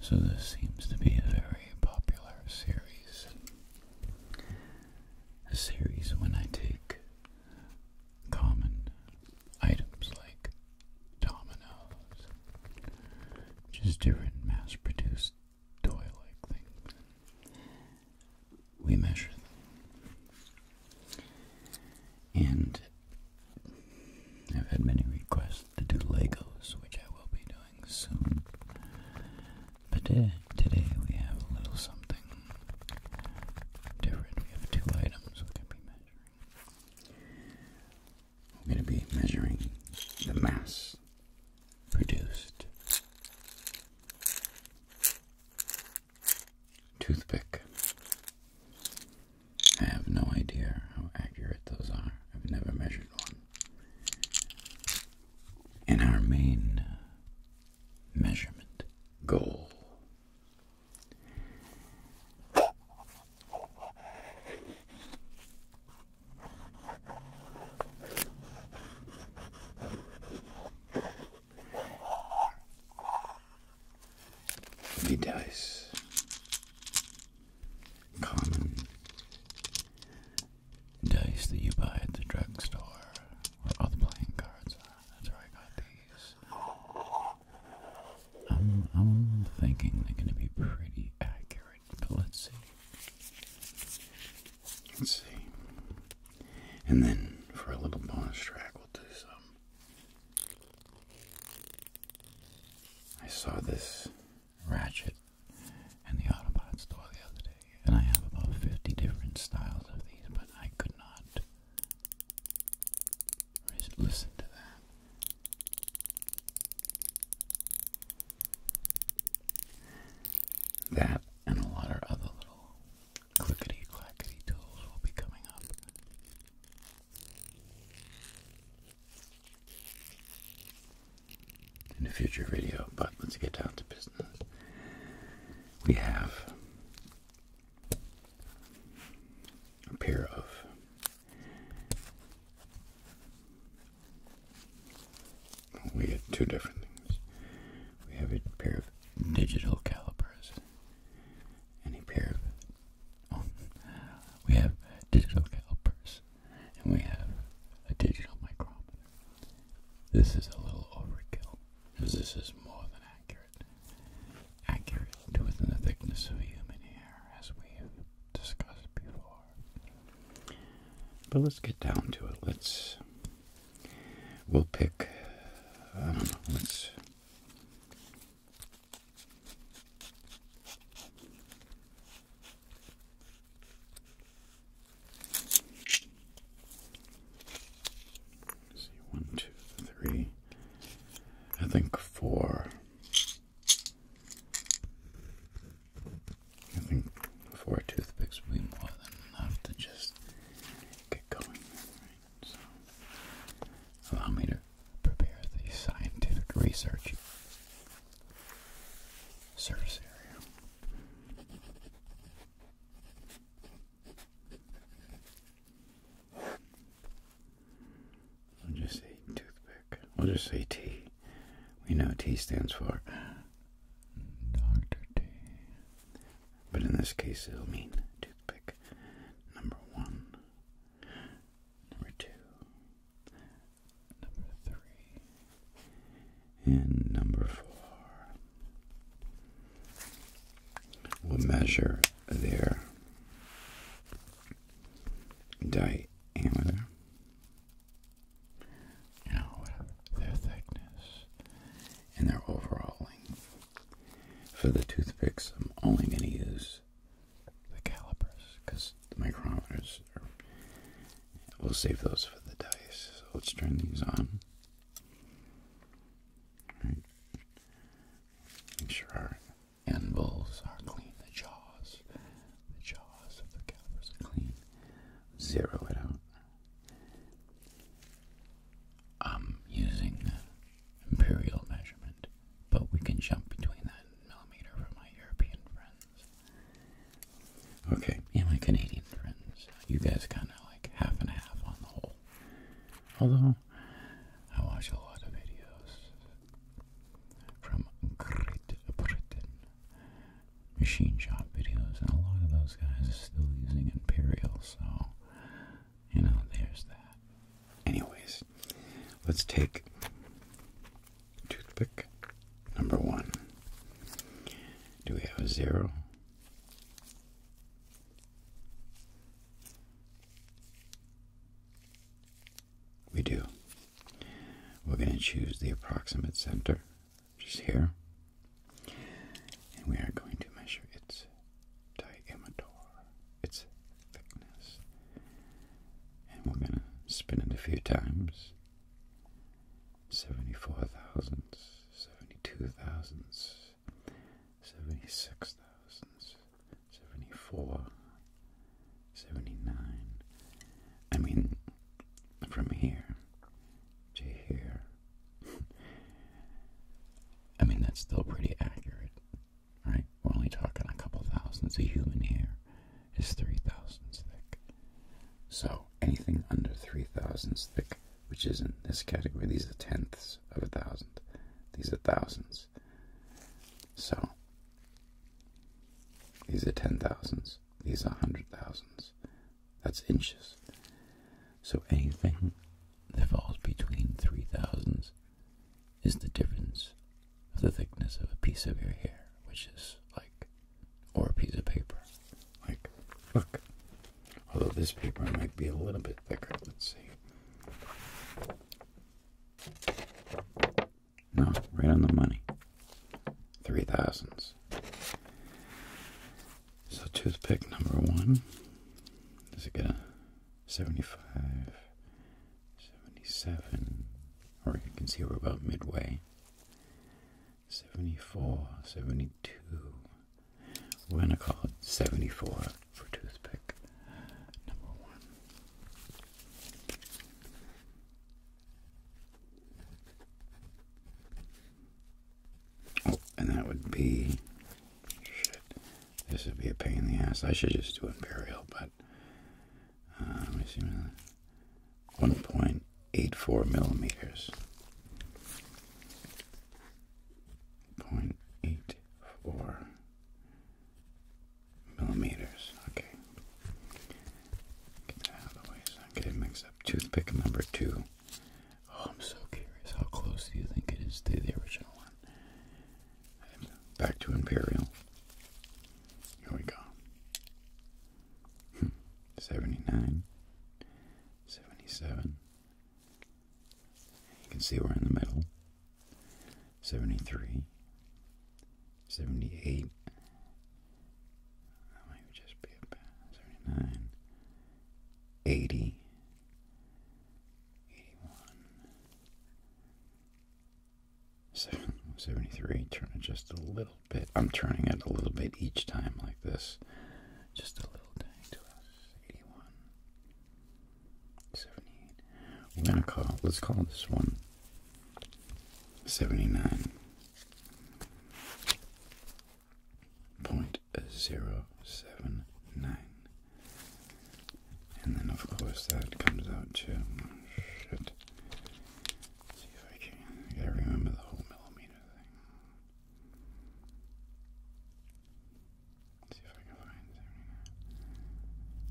So, this seems to be a very popular series. A series when I take common items like dominoes, just different mass produced toy like things. We measure them. And I've had many requests to do Legos, which I will be doing soon. But today, today we have a little something different. We have two items we can be measuring. We're going to be measuring the mass produced. Toothpick. I have no idea how accurate those are. I've never measured one. And our main measurement goal the dice common dice that you buy at the drugstore or all playing cards. That's where I got these. I'm, I'm thinking they're going to be pretty accurate, but let's see. Let's see. And then for a little bonus track, we'll do some. I saw this ratchet in the Auto Parts store the other day, and I have about 50 different styles of these, but I could not listen to that? That and a lot of other little clickety clackety tools will be coming up. In a future video, but let's get down to business. We have a pair of we had two different things. We have a pair of digital calipers and a pair of um, we have digital calipers and we have a digital micrometer. This is a little overkill because this is more than accurate accurate, to within the thickness of human hair, as we have discussed before. But let's get down to it. Let's. We'll pick. I don't know. Let's see, one, two, three. I think four. I think four toothpicks will be more than enough to just get going. allow me to prepare the scientific research service area we will just say toothpick. I'll just say T. We know T stands for Dr. T. But in this case, it'll mean toothpick. Number one. Number two. Number three. And number four we will measure their diameter, you their thickness, and their overall length. For the toothpicks, I'm only going to use the calipers because the micrometers We'll save those for the dice. So let's turn these on. Right. Make sure our anvils are clean, the jaws, the jaws of the calipers are clean. Zero it out. I'm using imperial measurement, but we can jump between that and millimeter for my European friends. Okay, yeah, my Canadian friends. You guys kind of like half and half on the whole. Although I watch a lot of videos from Great Britain. Machine shop videos, and a lot of those guys are still using Imperial, so, you know, there's that. Anyways, let's take toothpick number one. Do we have a zero? We do. We're going to choose the approximate center, just here, and we are going to measure its diameter, its thickness, and we're going to spin it a few times. 74 thousandths, 72 thousandths, seventy-six thousand, seventy-four, seventy-nine. I mean, from here to here. I mean, that's still pretty accurate, right? We're only talking a couple thousands. A human hair is three thick. So anything under three thick which isn't this category. These are tenths of a thousand. These are thousands. So these are ten thousands. These are hundred thousands. That's inches. So anything that falls between three thousands is the difference of the thickness of a piece of your hair, which is like, or a piece of paper. Like, look, Although this paper might be a little bit thicker. Let's see. No, right on the money. Three thousands. So toothpick number one. Does it get a 75, 77, or you can see we're about midway. 74, 72, we're going to call it 74 for toothpick number one. Oh, and that would be. Shit. This would be a pain in the ass. I should just do Imperial, but. Uh, let me see. 1.84 millimeters point eight four millimeters. Okay. Get that out of the way I don't mixed up. Toothpick number two. Oh, I'm so curious. How close do you think it is to the original one? Back to Imperial. Here we go. Hmm. 79, 77, you can see we're in the middle. 73, 78, that might just be about 79, 80, 81, 73, turn it just a little bit. I'm turning it a little bit each time like this. Just a little tiny to us. 81, We're gonna call, let's call this one 79. and then of course that comes out to oh shit. see if I can. gotta remember the whole millimeter thing.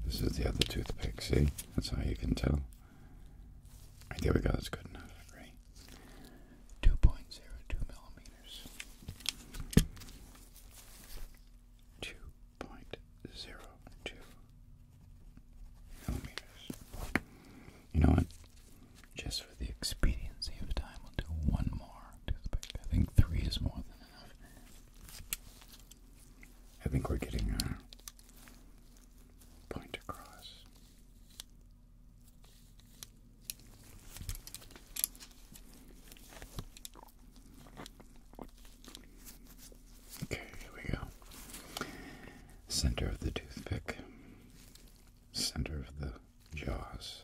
This is the other toothpick, see? That's how you can tell. there we go, that's good enough, right? 2.02 millimeters. 2.02 millimeters. You know what? Just for the expediency of time, we'll do one more toothpick. I think three is more than enough. I think we're getting a point across. Okay, here we go. Center of the toothpick, center of the jaws,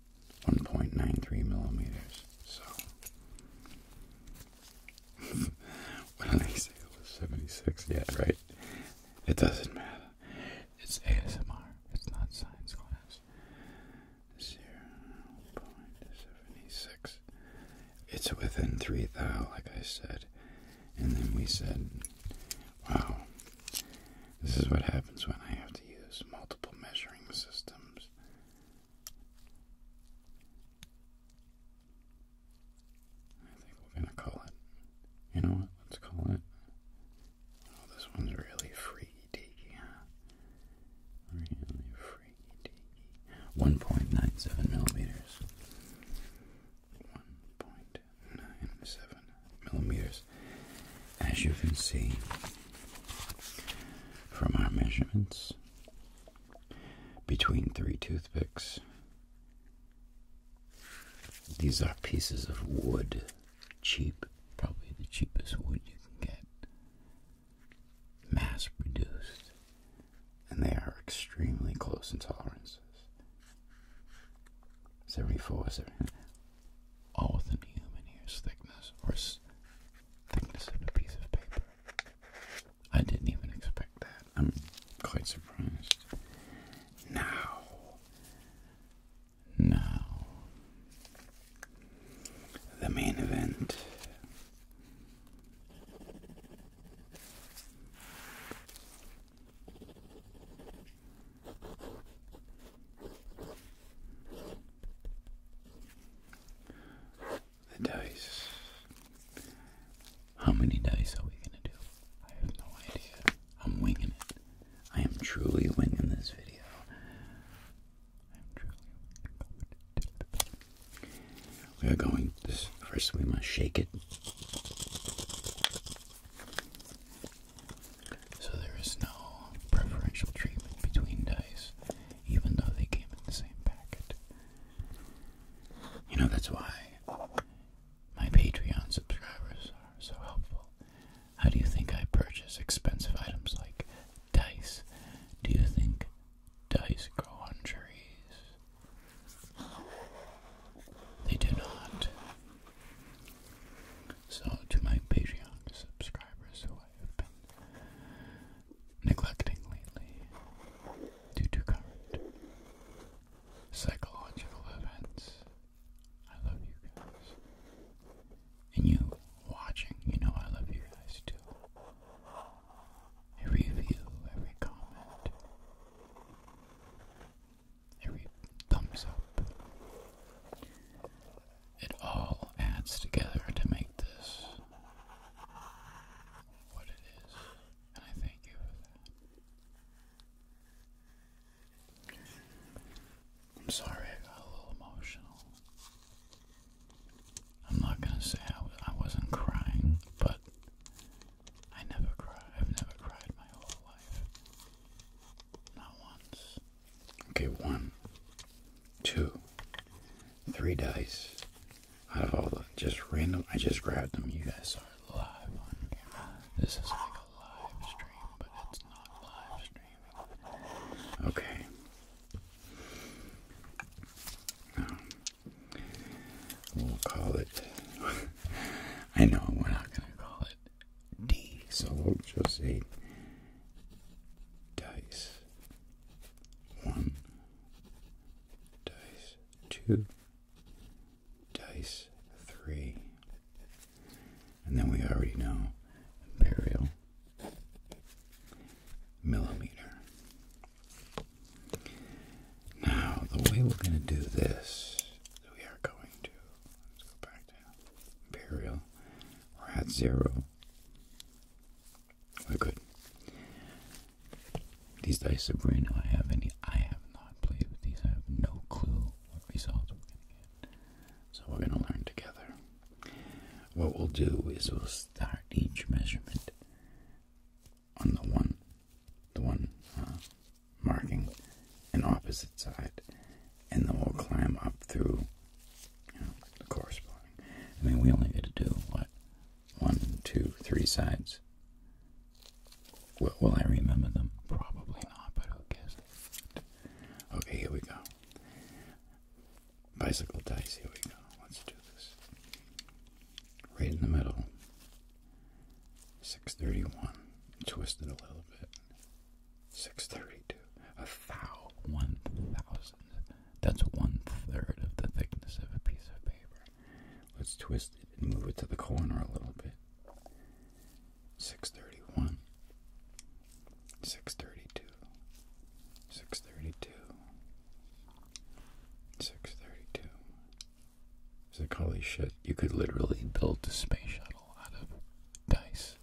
1.93 millimeters. So, what did I say? It was 76 yeah, right? It doesn't matter. It's ASMR, it's not science class. 0.76. It's within 3 thou, like I said. And then we said, wow, this is what happens when I have to use multiple measuring systems. I think we're going to call it. You know what? Let's call it. Oh, this one's really freaky deaky, Really freaky deaky. 1.97 millimeters. 1.97 millimeters. As you can see from our measurements, between three toothpicks, these are pieces of wood, cheap, probably the cheapest wood you can get, mass produced, and they are extremely close in tolerances. 74, 70, all within human hair's thickness or thickness of a piece of paper. I didn't even expect that. I'm quite surprised. Now, now, the main event. The dice. How many dice are we gonna do? I have no idea. I'm winging it. I am truly winging this video. We are going. first, we must shake it. So there is no preferential treatment between dice, even though they came in the same packet. You know, that's why my Patreon subscribers are so helpful. How do you think I purchase expensive items like dice? Do you think dice grow on trees? They do not. So, to my Patreon subscribers who I have been neglecting lately due to current psychological events, I love you guys. And you watching, you know I love you guys too. Every view, every comment, every thumbs up, it all adds together to make this what it is, and I thank you for that. I'm sorry I got a little emotional. I'm not gonna say I, I wasn't crying, but I never cry. I've never cried my whole life. Not once. Okay, one, two, three dice. Out of all the just random, I just grabbed them. You guys are live on camera. this is like a live stream, but it's not live streaming. Okay. Um, we'll call it. I know we're not gonna call it D. So i will just say dice one, dice two, dice three. And then we already know imperial millimeter. Now, the way we're going to do this, we are going to, let's go back to imperial, or at zero. Well, good. These dice that Bruno I have any, I have not played with these. I have no clue what results we're going to get. So we're going to learn together. What we'll do is we'll start each measurement on the one, the one uh, marking an opposite side, and then we'll climb up through the corresponding. I mean, we only get to do what one, two, three sides. Will, will I remember them? Probably not, but who cares? Okay, here we go. Bicycle dice. Here we go. Let's do this. Right in the middle. Six thirty-one. Twist it a little bit. 632. A thou, one thousandth. That's one third of the thickness of a piece of paper. Let's twist it and move it to the corner a little bit. 631. 632. 632. 632. So holy shit, you could literally build a space shuttle out of dice.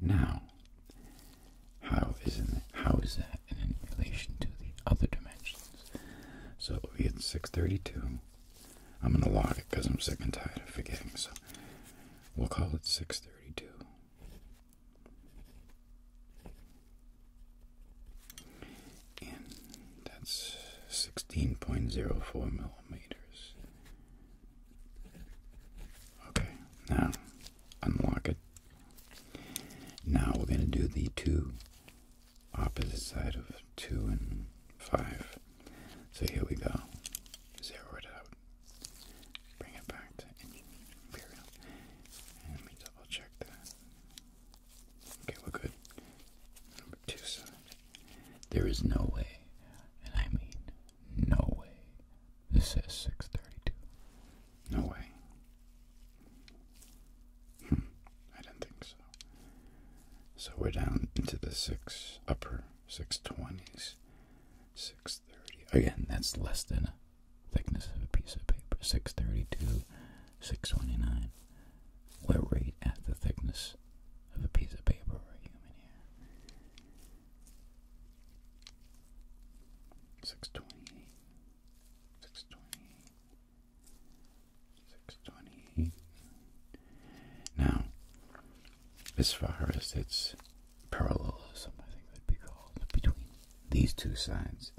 Now, how is that in relation to the other dimensions? So we get 632. I'm gonna log it because I'm sick and tired of forgetting. So we'll call it 632. And that's 16.04 millimeters. Okay, now unlock it. Now we're going to do the two opposite side of two and five. So here we go. Zero it out. Bring it back let me double check that. Okay, we're good. Number two side. There is no way, and I mean no way. This says 632. No way. Hmm. I didn't think so. So we're down into the six upper 620s, 630. Again, that's less than a thickness of a piece of paper. 632, 629. We're right at the thickness of a piece of paper or human hair. Six twenty, six twenty, six twenty. Now, as far as its parallelism, I think that'd be called between these two sides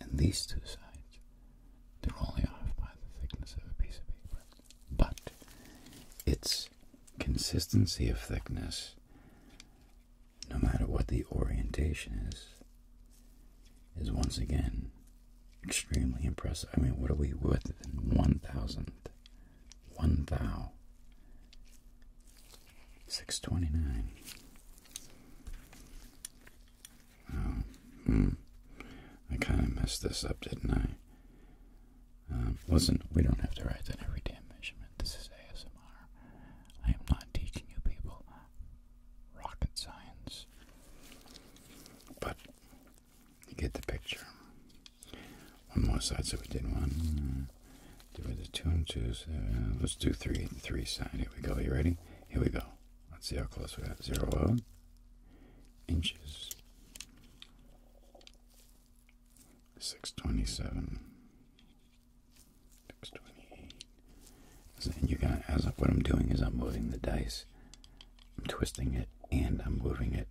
and these two sides, they're only off by the thickness of a piece of paper but its consistency of thickness, no matter what the orientation is, is once again extremely impressive. I mean, what are we with in one thousandth? One Oh, hmm. I kind of messed this up, didn't I? Um, listen, we don't have to write that every damn measurement. This is ASMR. I am not teaching you people rocket science. But you get the picture. One more side, so we did one. Uh, do two and twos. Uh, let's do three and three side. Here we go. You ready? Here we go. Let's see how close we got. Zero oh, inches. 627 628 and you are got as what i'm doing is i'm moving the dice i'm twisting it and i'm moving it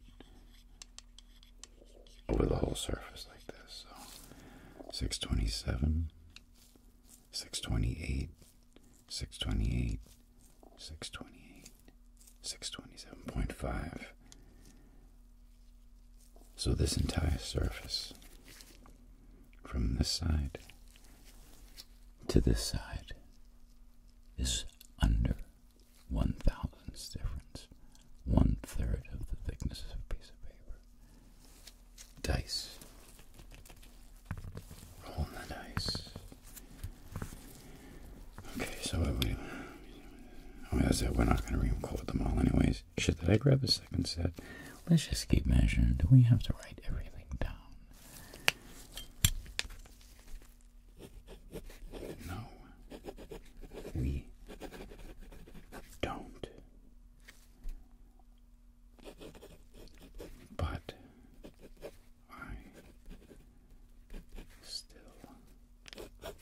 over the whole surface like this so 627 628 628 628, 627.5. So, this entire surface from this side to this side is under one thousandth thousandths difference, one third of the thickness of a piece of paper. Dice. Roll the dice. Okay, so we, wait. Oh, that's it. We're not going to record them all anyways. Should I grab a second set? Let's just keep measuring. Do we have to write everything down? No, we don't. But I still love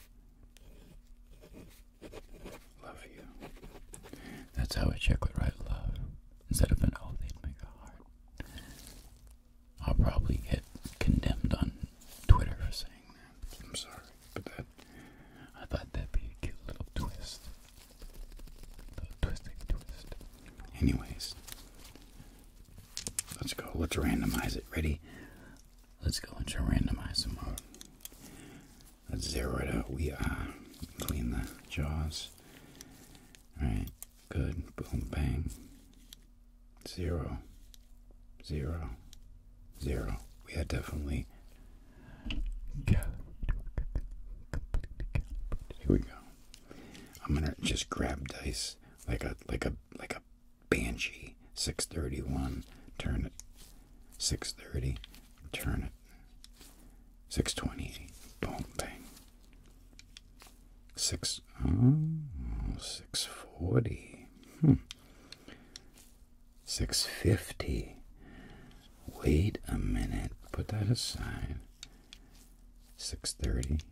you. That's how I check what right love. Instead of an oh, they'd make a heart. I'll probably get condemned on Twitter for saying that. I'm sorry, but that I thought that'd be a cute little twist. A little twist. Anyways, Let's go. Let's randomize it. Ready? Let's go Let's randomize randomizer mode. Let's zero it out. We are clean the jaws. Alright, good. Boom, bang. Zero. Zero. Zero. We are definitely. Here we go. I'm gonna just grab dice like a like a like a Banshee, 631, turn it. 630, turn it. six twenty. boom, bang. 6, 640, hmm. 650, wait a minute, put that aside. 630,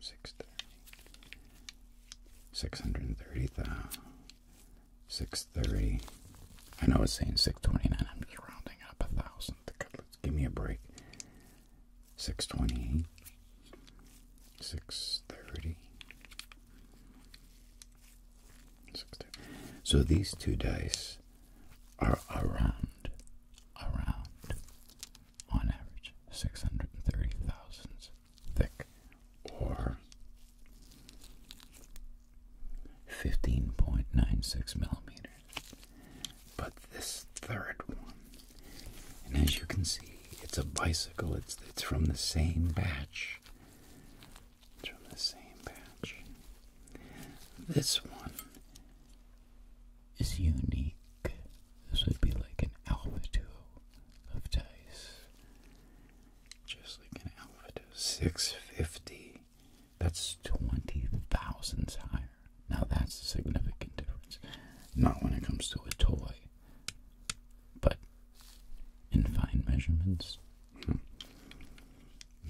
630 630 I know it's saying 629 I'm just rounding up a thousand give me a break 628 630 so these two dice are around, around, on average 630 thick, or 15.96 millimeters. But this third one, and as you can see, it's a bicycle, it's, it's from the same batch. It's from the same batch. This one is unique this would be like an alpha duo of dice. Just like an alpha 650. That's 20,000 higher. Now that's a significant difference. Not when it comes to a toy, but in fine measurements. Hmm.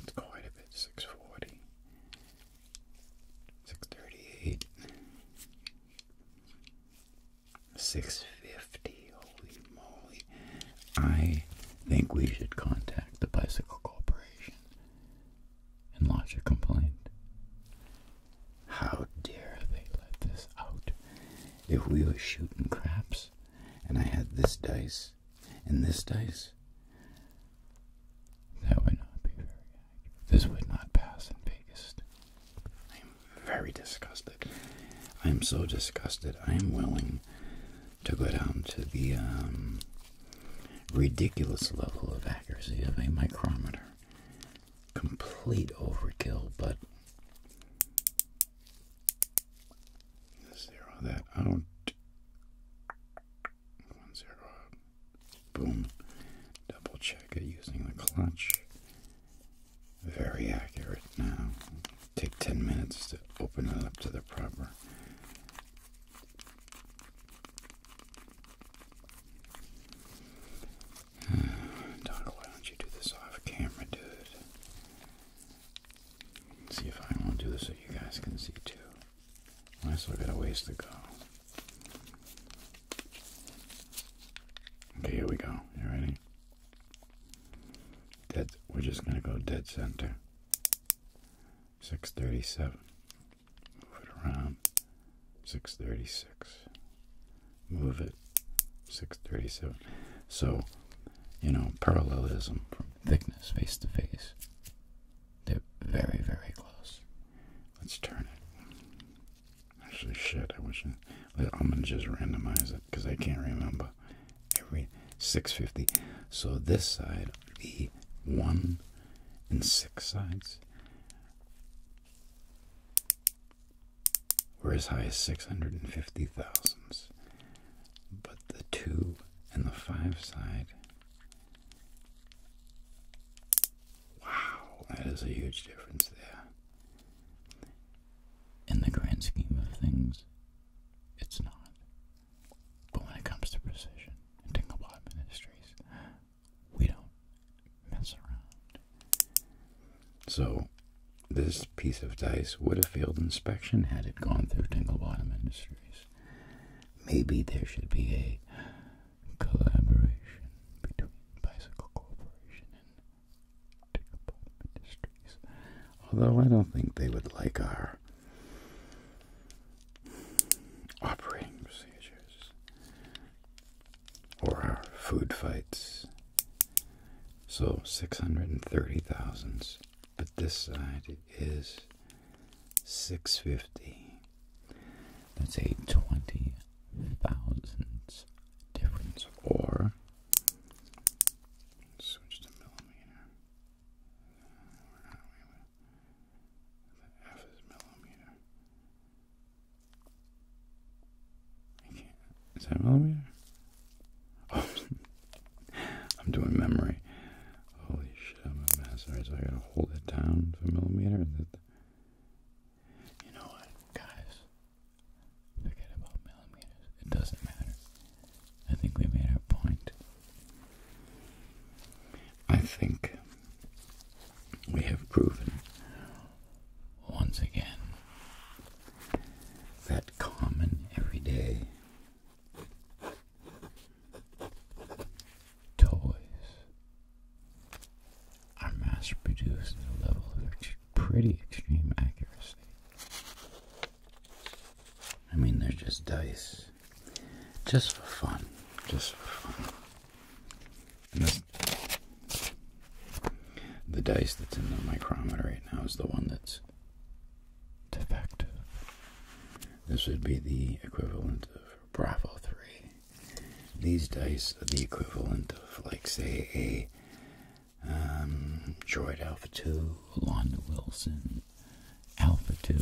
It's quite a bit. 640. 638. 650. Holy moly. I think we should contact the Bicycle Corporation and lodge a complaint. How dare they let this out? If we were shooting craps and I had this dice and this dice, that would not be very this would not pass in Vegas. I am very disgusted. I am so disgusted. I am willing to go down to the um, ridiculous level of accuracy of a micrometer. Complete overkill, but zero that out. One zero Boom. Double check it using the clutch. Very accurate now. Take 10 minutes to open it up to the proper. Doc, why don't you do this off camera, dude? see if I won't do this so you guys can see too. I still got a ways to go. Okay, here we go. You ready? Dead. We're just gonna go dead center. Six thirty-seven. Move it around. Six thirty-six. Move it. Six thirty-seven. So, you know, parallelism from thickness face to face. They're very, very close. Let's turn it. Actually, shit, I wish I, I'm gonna just randomize it because I can't remember. Every 650. So this side, the one and six sides were as high as 650 but the two and the five side Wow, that is a huge difference there. In the grand scheme of things, it's not. But when it comes to precision and Dinglebot Ministries, we don't mess around. So, this piece of dice would have failed inspection had it gone through Dinglebottom Industries. Maybe there should be a collaboration between Bicycle Corporation and Tickle Industries. Although I don't think they would like our operating procedures or our food fights. So 630,000, but this side is 650. That's a 20,000th difference, or so just a millimeter. is millimeter. I that millimeter? Oh, I'm doing memory. Holy shit, I'm a mess. Alright, so I gotta hold it down for a millimeter. You know what, guys? Forget about millimeters. It doesn't matter. I think we made our point. I think we have proven once again that common everyday toys our mass-produced at a level of pretty extreme accuracy. I mean, they're just dice, just for fun, just for fun. the dice that's in the micrometer right now is the one that's defective. This would be the equivalent of Bravo 3 these dice are the equivalent of, like, say, a um, Droid Alpha 2, Londa Wilson, Alpha 2,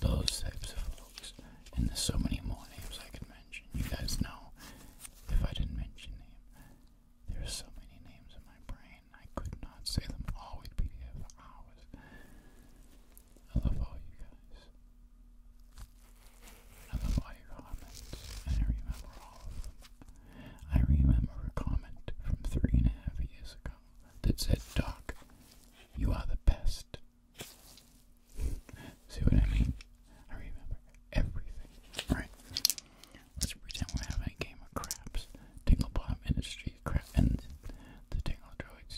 those types of folks. And there's so many more names I could mention. You guys know if I didn't mention them. there's so many names in my brain, I could not say them all. We'd be here for hours. I love all you guys. I love all your comments, and I remember all of them. I remember a comment from three and a half years ago that said, Doc, you are the best. See what I mean? I remember everything. Right. Let's pretend we're having a game of craps. Tingle Bomb Industry crap and the Tingle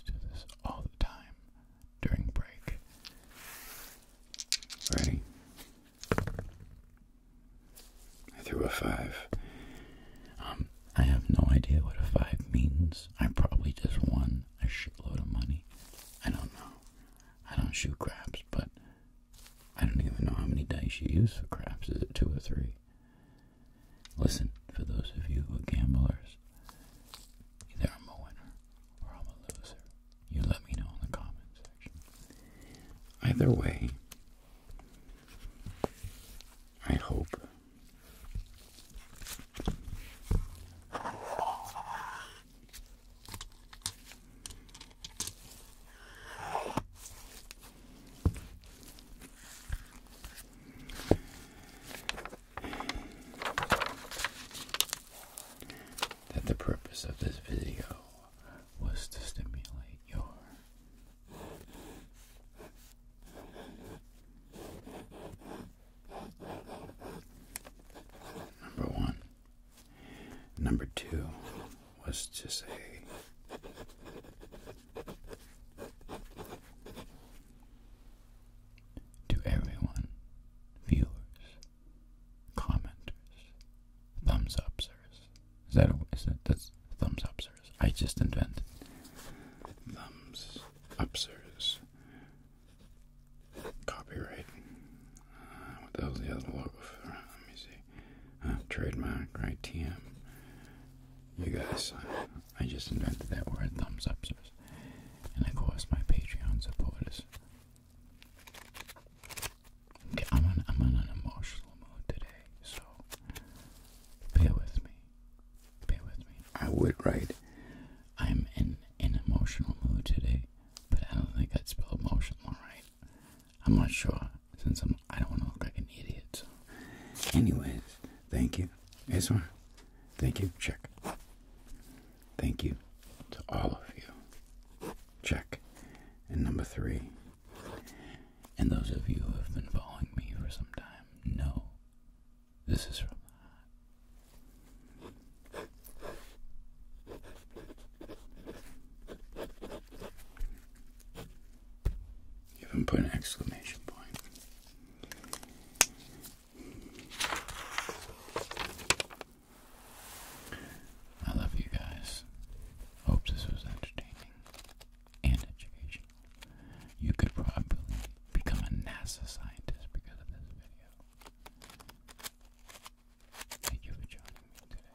do this all the time during break. Ready? I threw a five. Um, I have no idea what a five means. I probably just won a shitload of money. I don't know. I don't shoot craps, but I don't even know how many dice you use for craps. Is it two or three? Listen, for those of you who are gamblers, either I'm a winner or I'm a loser. You let me know in the comment section. Either way, I hope that the purpose of this video was to stimulate your number one. Number two was to say to everyone viewers, commenters, thumbs upsers. Is that, that that's thumbs upsers? I just invented thumbs upsers. Copyright. Uh, what the the other logo for? Let me see. Uh, trademark, right? TM. You guys, uh, I, just invented that word, thumbs upsers. And of course, my Patreon supporters Okay, I'm on, I'm on an emotional mood today, so bear with me. Bear with me. I would write, I'm in an emotional mood today, but I don't think I'd spell emotional right. I'm not sure, since I'm, I don't want to look like an idiot. So. Anyways, thank you. ASMR, thank you. Check. Thank you to all of you. Check. And number three, and those of you who have been following me for some time know this is even put an exclamation point. I love you guys. Hope this was entertaining and educational. You could probably become a NASA scientist because of this video. Thank you for joining me today.